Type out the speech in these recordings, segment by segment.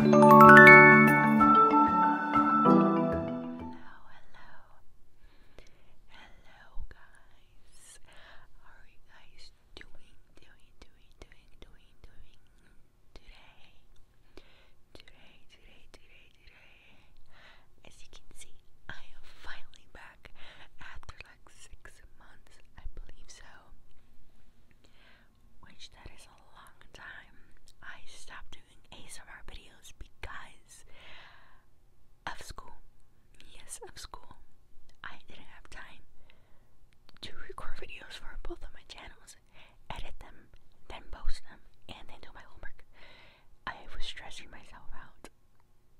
Hello guys. How are you guys doing? Doing, doing, doing, doing, doing today? Today, today, today, today. As you can see, I am finally back after like six months, I believe so. Which that is a long time. I stopped doing ASMR videos because of school. Yes, of school. I didn't have time to record videos for both of my channels, edit them, then post them, and then do my homework. I was stressing myself out.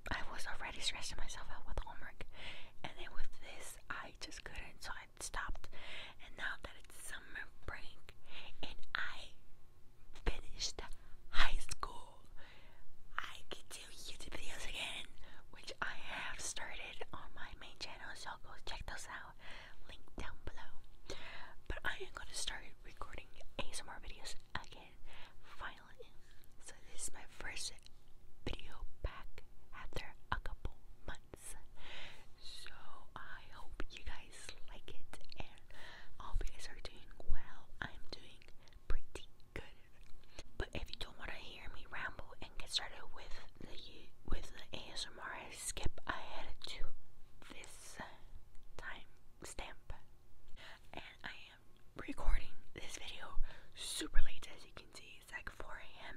I was already stressing myself out with homework, and then with this I just couldn't, so I stopped. And now that it's summer break and I finished high school, I can do YouTube videos again, which I have started on my main channel, so go check those out. Link down below. But I am gonna start recording ASMR videos again, finally. So this is my first video back after a couple months. So I hope you guys like it and all hope you guys are doing well. I'm doing pretty good. But if you don't want to hear me ramble and get started with the with the ASMR, skip ahead to this time stamp. And I am recording this video super late as you can see is like 4 a.m.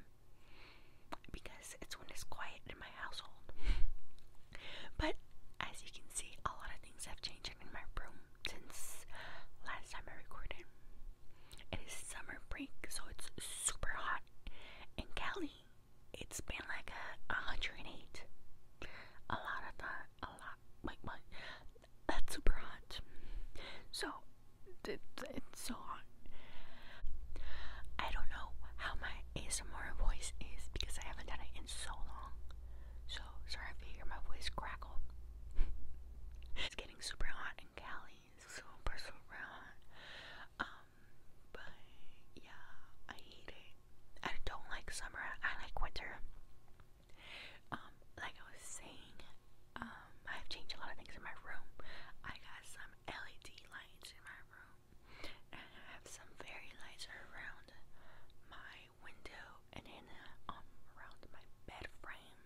because it's when it's quiet in my household. but as you can see, a lot of things have changed in my room since last time I recorded. It is summer break, so it's super hot. In Cali, it's been like a 108. A lot of the, a lot, like, what? That's super hot. So, it, it's so hot. I don't know how my ASMR voice is because I haven't done it in so long. So, sorry if you hear my voice crackle. it's getting super hot in Cali. Super, super hot. Um, but yeah, I hate it. I don't like summer. I like winter. Um, like I was saying, um, I've changed a lot of things in my room. I got some LED lights in my room, and I have some fairy lights around my window and in uh, um, around my bed frame.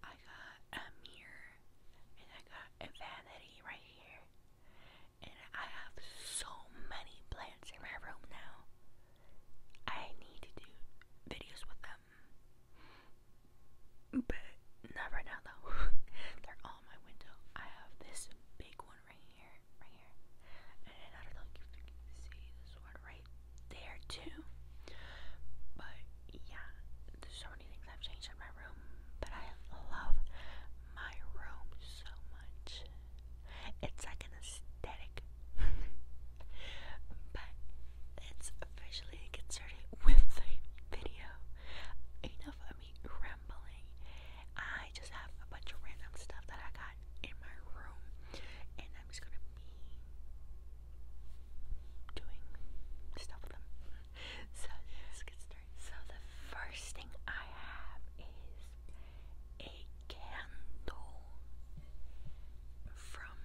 I got a mirror, and I got a vanity right here. And I have so many plants in my room now. I need to do videos with them. But not now though. They're all my window. I have this big one right here, right here, and I don't know if you can see this one right there too. But yeah, there's so many things I've changed in my room, but I love my room so much. It's like an aesthetic. But let officially get started with the video. Enough of me rambling. I just have a bunch of random stuff that I got in my room, and I'm just gonna be doing stuff with them. So let's get started. So the first thing I have is a candle from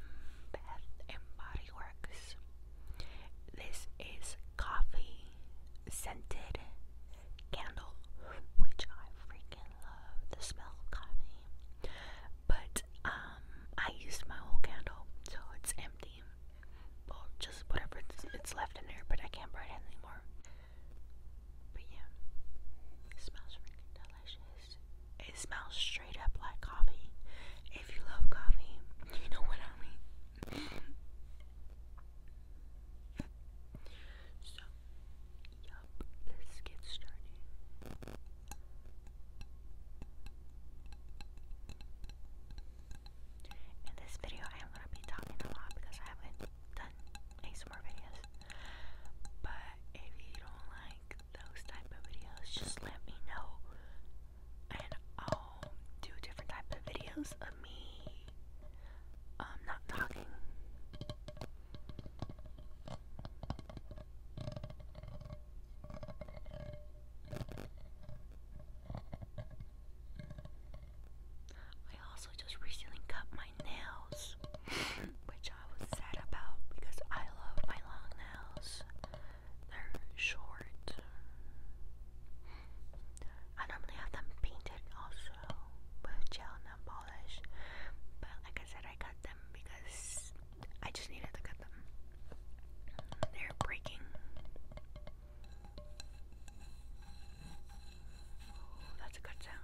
Bath and Body Works. This is coffee scented candle, which I freaking love the smell of coffee. But um, I used my whole candle, so it's empty. Well, just whatever it's, it's left in there, but I can't burn it anymore. But yeah, it smells freaking delicious. It smells straight up like coffee. If you love coffee, you know what I mean. so, yup, let's get started. In this video, I am going to be talking a lot because I haven't done ASMR videos. But if you don't like those type of videos, just let me know. And I'll um, do different type of videos of me um not talking. I also just recently cut my nails, which I was sad about because I love my long nails. They're short. I normally have them painted also with gel nail polish, but like I said, I cut them because I just needed to cut them. They're breaking. that's a good sound.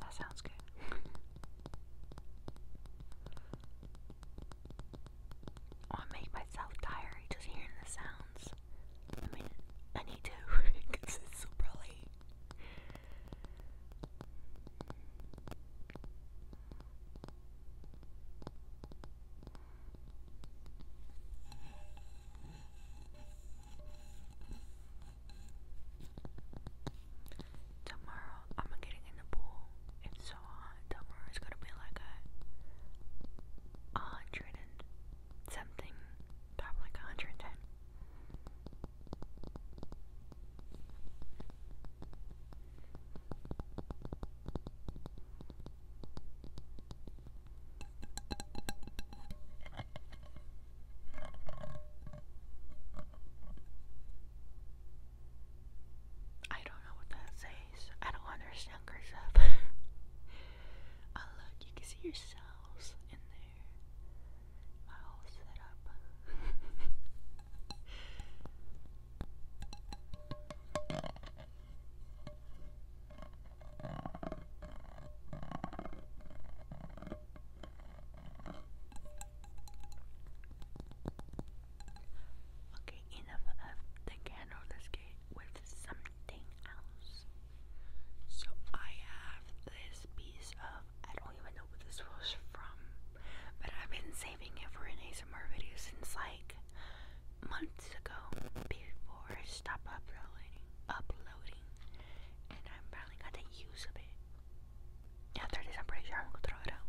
That sounds good. I made myself tired just hearing the sound. I mean, I need to because it's super late. Tomorrow, I'm getting in the pool. It's so hot. Tomorrow is gonna be like a hundred something, probably like 110. I don't know what that says. I don't understand Cursive. Oh, look, you can see yourselves in there. My whole setup. Okay, enough Let's get with some else. So I have this piece of I don't even know what this was from, but I've been saving it for an ASMR video since like months ago before I uploading uploading and I'm finally got the use of it. Yeah, there is, I'm pretty sure I'm gonna throw it out.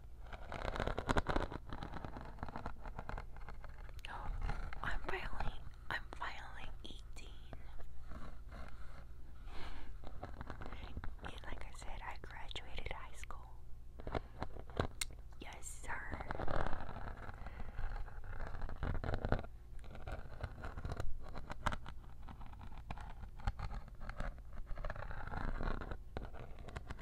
Oh, I'm finally, I'm finally 18. And like I said, I graduated high school. Yes, sir.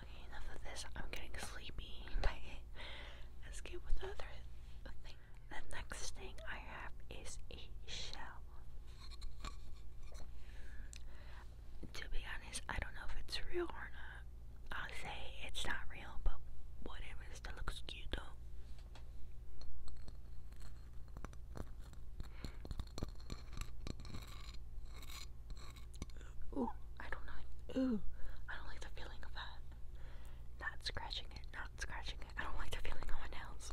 Okay, enough of this. I'm getting sleepy. Let's get with other thing. The next thing I have is a shell. To be honest, I don't know if it's real or not. I'll say it's not real, but whatever, still looks cute though. Ooh, I don't like. Ooh, I don't like the feeling of that. Not scratching it. Not scratching it. I don't like the feeling on my nails.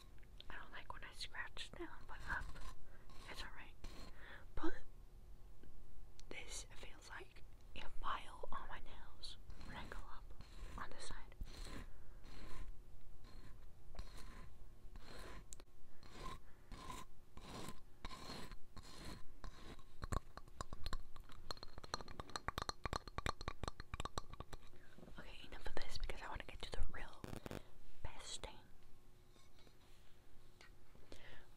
I don't like when I scratch down but up. It's alright. But this feels like a mile on my nails when up on this side. Okay, enough of this because I want to get to the real best day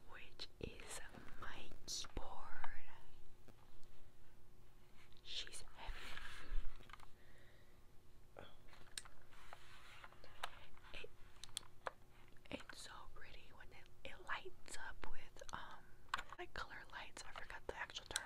which is my keyboard. She's heavy. it's so pretty when it, it lights up with um like color lights. I forgot the actual term.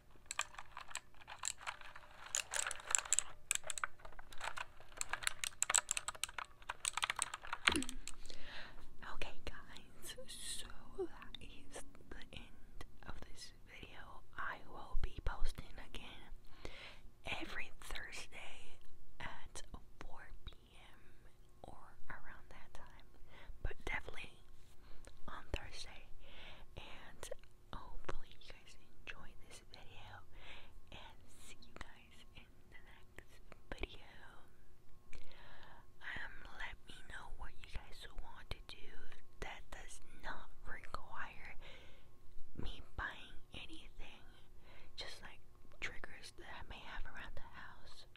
okay, guys, so that is the end of this video. I will be posting again every Thursday at 4 p.m. or around that time, but definitely on Thursday and hopefully you guys enjoy this video and see you guys in the next video. Um let me know what you guys want to do that does not require me buying anything. Just like triggers that I may have around the house.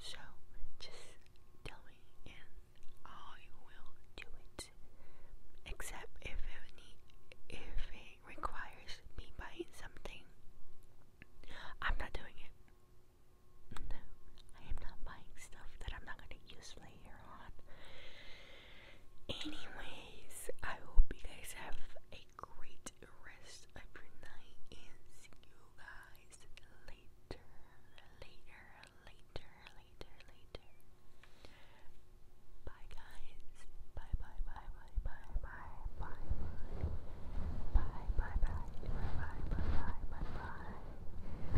So just tell me and I will do it except if it requires me buying something I'm not doing it no I am not buying stuff that I'm not gonna use later on anyways I hope you guys have a great rest of your night and see you guys later later later, later, later. Bye, guys. Bye, bye, bye, bye, bye, bye, bye, bye, bye, bye, bye, bye, bye, bye, bye, bye.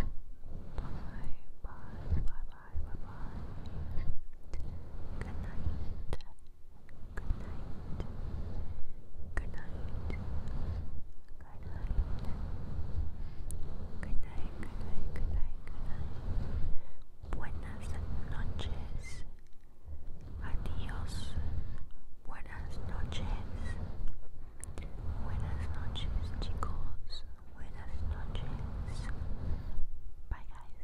Bye, bye, bye, bye, bye, bye. Good night. Good night. Good night. Good night, good night, good night, good night. Buenas noches. Adios. Buenas noches. Buenas noches, chicos. Buenas noches. Bye, guys.